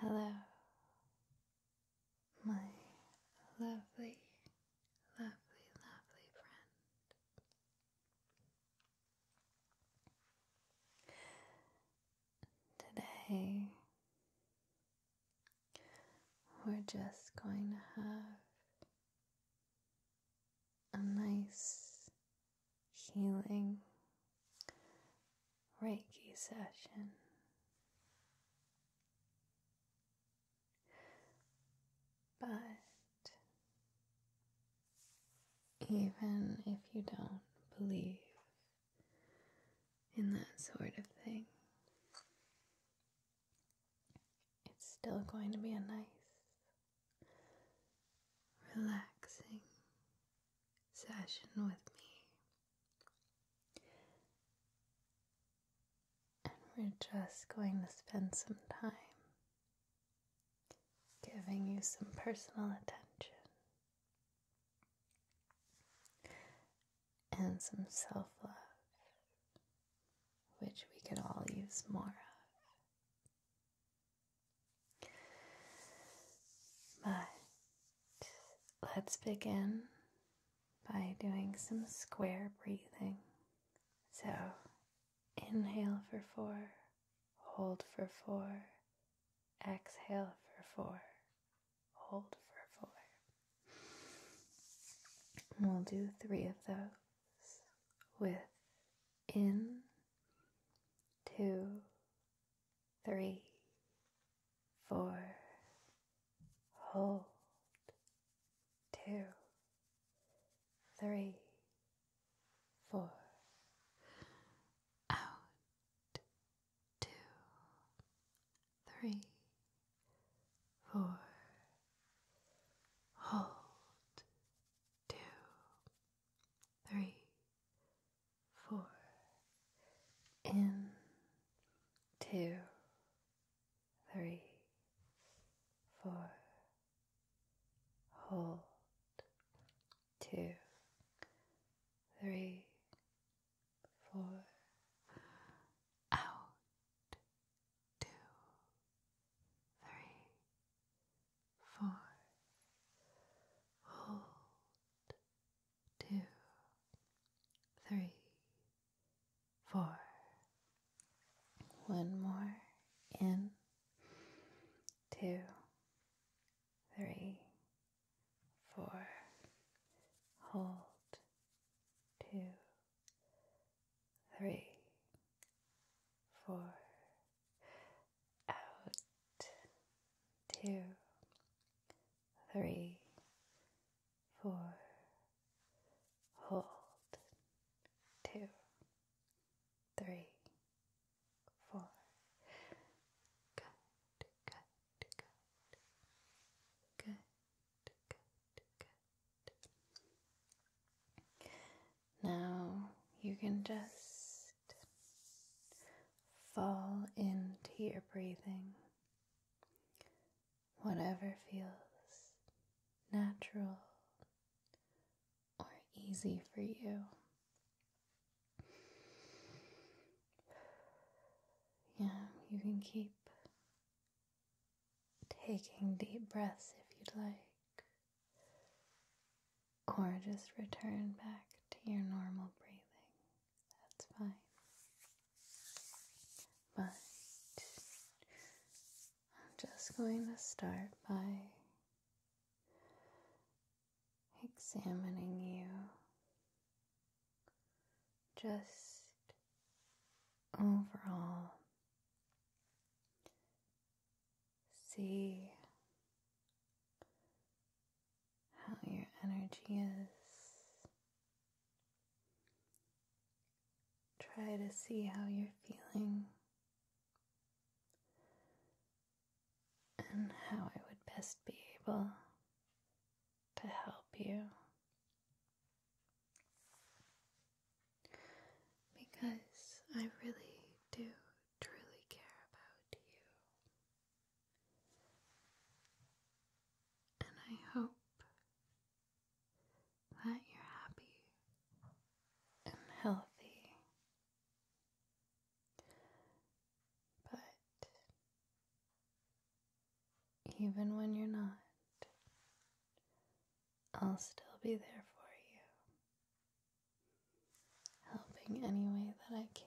Hello, my lovely, lovely, lovely friend. Today we're just going to have a nice healing Reiki session. But even if you don't believe in that sort of thing, it's still going to be a nice, relaxing session with me. And we're just going to spend some time giving you some personal attention and some self love, which we could all use more of. But let's begin by doing some square breathing. So inhale for four, hold for four, exhale for four, hold for four. We'll do three of those with in, two, three, four, hold, two, three, four, out, two, three, four. Hold two, three, four. In two, three, four. Hold two, three, four. Out two, three, four. Hold two, three, four. One more in, two, three, four. Hold two three, four, out, two, three, four, hold, two, three, four, good, good, good, good, good, now you can just fall into your breathing, whatever feels natural or easy for you. Yeah, you can keep taking deep breaths if you'd like, or just return back to your normal breathing. That's fine. But I'm just going to start by examining you just overall see how your energy is. Try to see how you're feeling and how I would best be able to help you because I really do truly care about you. And I hope that you're happy and healthy. But even when you're not, I'll still be there for you, helping any way that I can.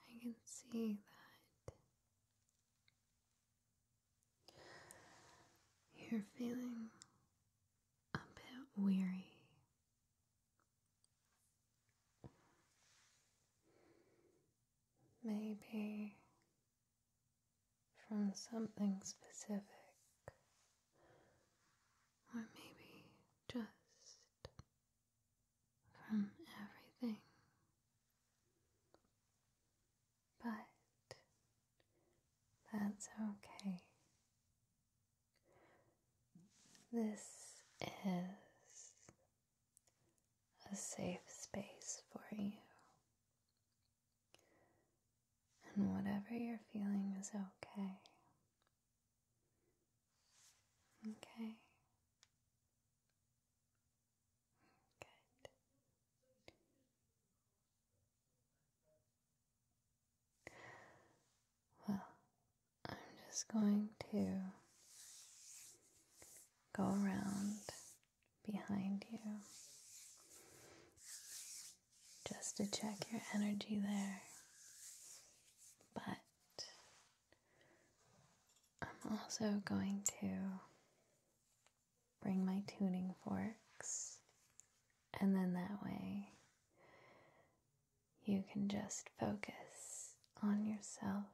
I can see that you're feeling a bit weary. Maybe from something specific, or maybe just from everything. But that's okay. This is a safe space for you. And whatever you're feeling is okay. Okay. Well, I'm just going to go around behind you just to check your energy there. But I'm also going to bring my tuning forks, and then that way you can just focus on yourself.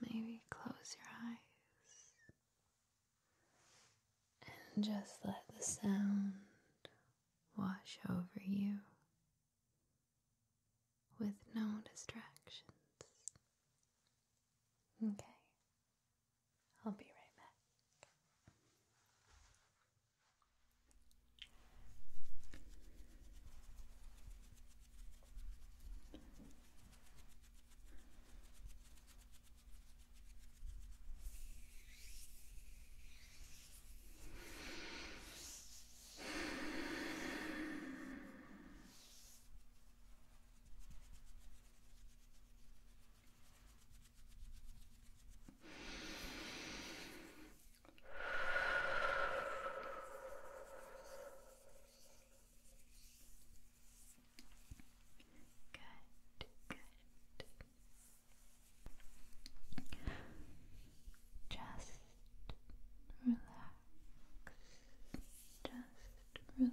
Maybe close your eyes and just let the sound wash over you with no distractions. Okay. I'll be right back. Good, good. Just relax. Just relax. Good.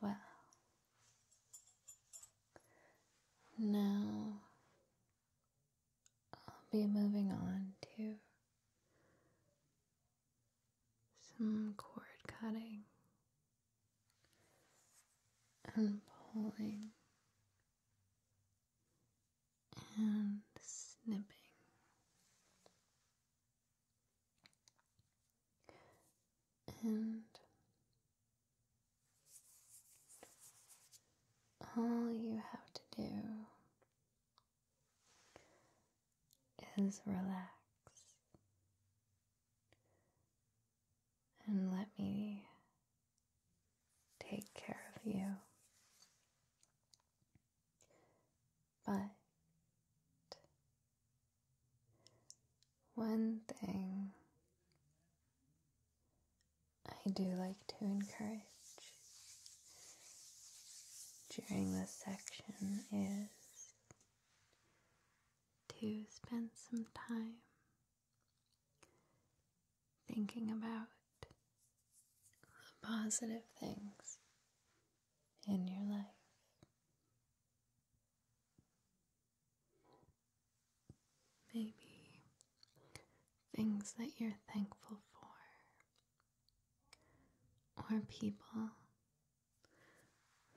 Well, now I'll be moving on to some cord cutting and pulling and snipping. And all you have to do is relax and let me take care of you. But one thing I do like to encourage during this section is to spend some time Thinking about the positive things in your life. Maybe things that you're thankful for, or people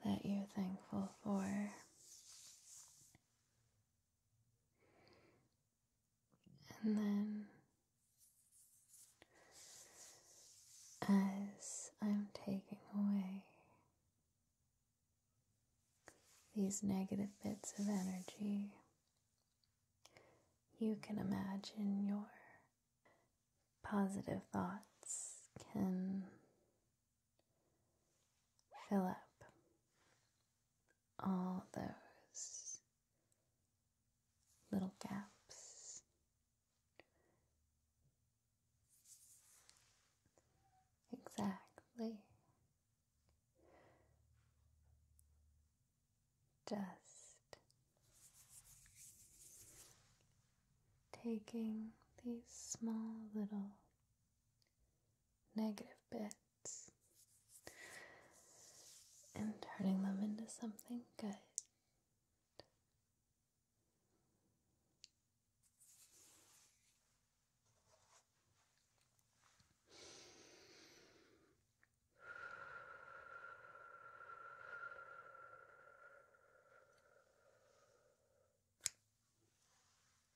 that you're thankful for. And then, as I'm taking away these negative bits of energy, you can imagine your positive thoughts can fill up all those little gaps. Exactly. Just taking these small little negative bits and turning them into something good.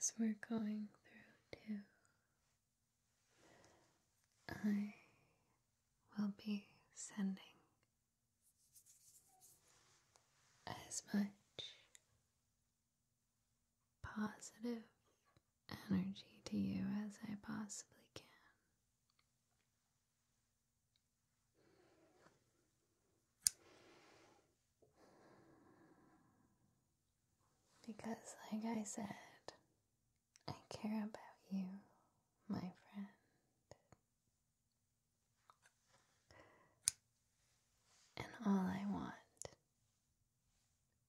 As we're going through, too, I will be sending as much positive energy to you as I possibly can. Because, like I said, I care about you, my friend. And all I want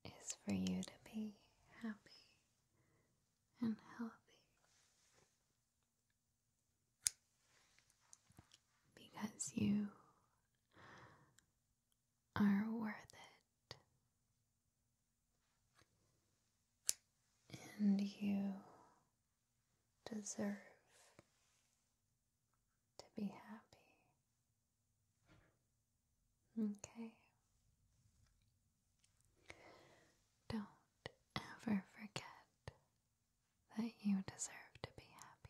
is for you to be happy and healthy. Because you are worth it. And you deserve to be happy. Okay? Don't ever forget that you deserve to be happy.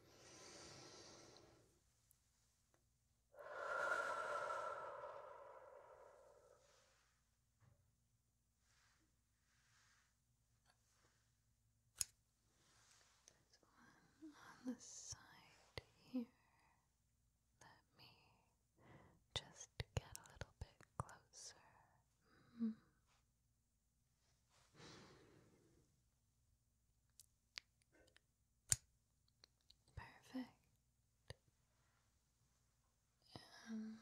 There's one on the side here. Let me just get a little bit closer. Hmm. Perfect. And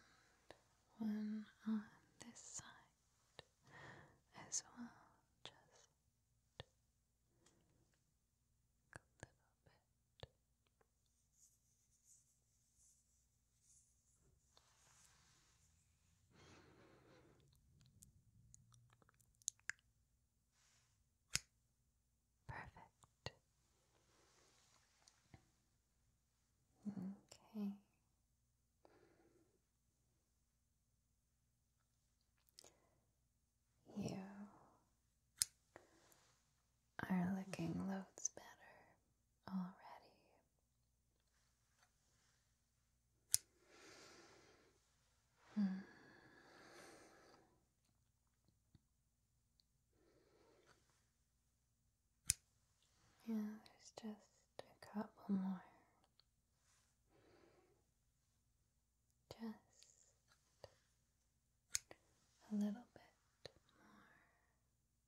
one on this side as well, just a little bit. Perfect. Okay. You are looking loads better already. Hmm. Yeah, there's just a couple more. Just a little bit more.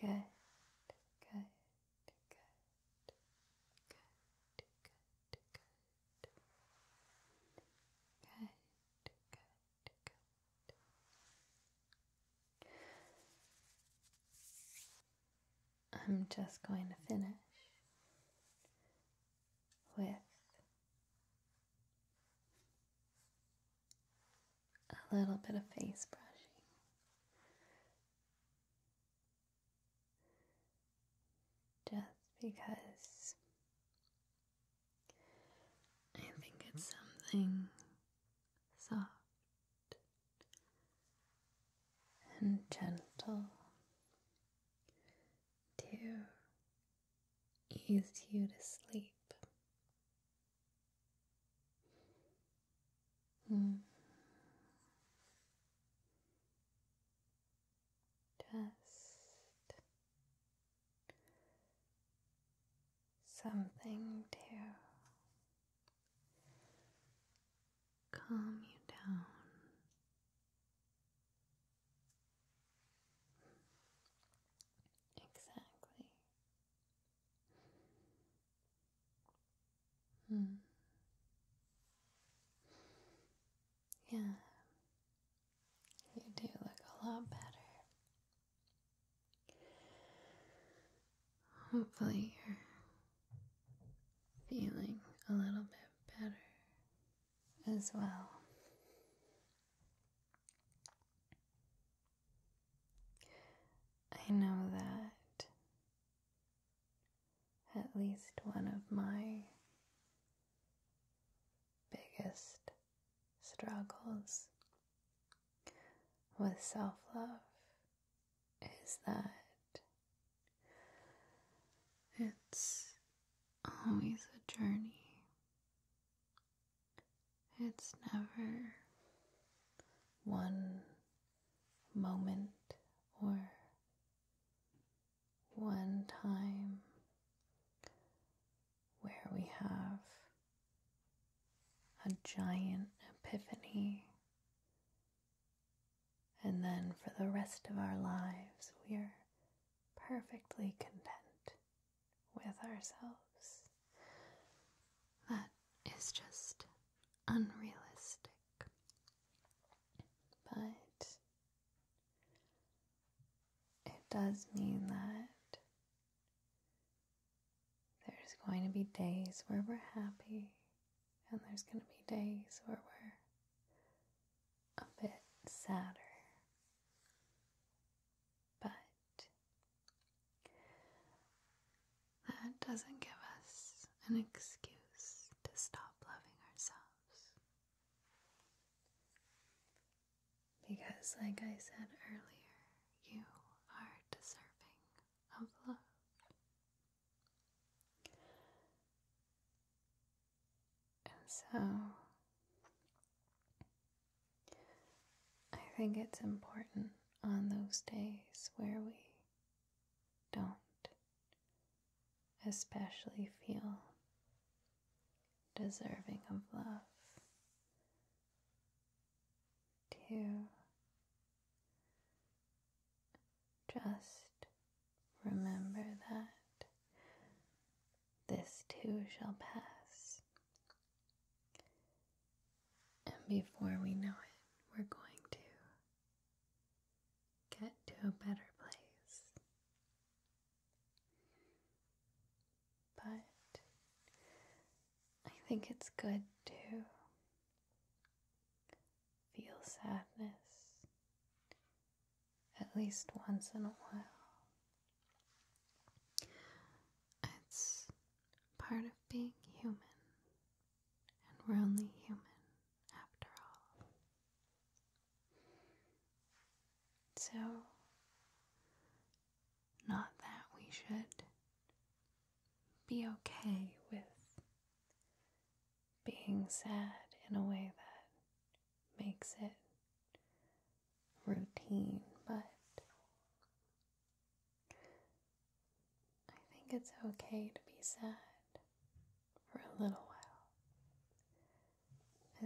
Good, good, good, good, good, good. Good, good, good. I'm just going to finish with a little bit of face brushing. Just because I think it's something soft and gentle to ease you to sleep. Mm. Just something to calm you down. Exactly. Hmm. Yeah, you do look a lot better. Hopefully, you're feeling a little bit better as well. I know that at least one of my biggest struggles with self love is that it's always a journey. It's never one moment or one time where we have a giant epiphany. And then for the rest of our lives, we are perfectly content with ourselves that is just unrealistic. But it does mean that there's going to be days where we're happy, and there's going to be days where we're a bit sadder. But that doesn't give us an excuse to stop loving ourselves. Because, like I said earlier, you are deserving of love. And so, I think it's important on those days where we don't especially feel deserving of love to just remember that this too shall pass and before we know it, we're going to get to a better place. But I think it's good to feel sadness at least once in a while. It's part of being human, and we're only human after all. So, not that we should be okay with being sad in a way that makes it routine, but I think it's okay to be sad for a little while.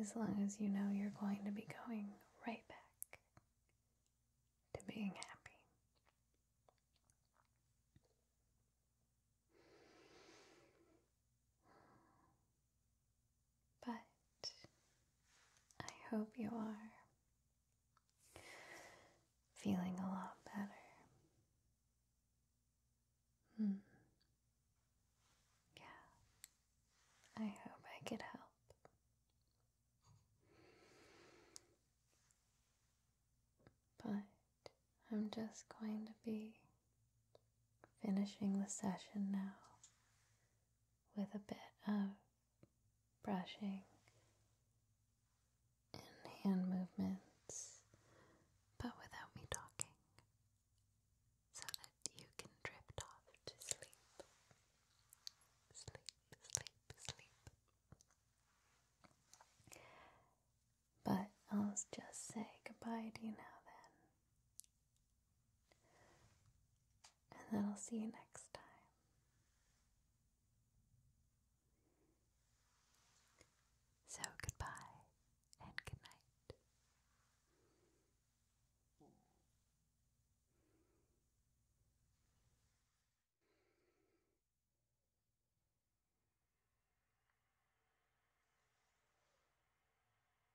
As long as you know you're going to be going right back to being happy. But I hope you are feeling a lot better. Hmm. Yeah. I hope I could help. But I'm just going to be finishing the session now with a bit of brushing and hand movements, but without me talking, so that you can drift off to sleep. Sleep, sleep, sleep. But I'll just say goodbye to you now then. And then I'll see you next time. So goodbye and good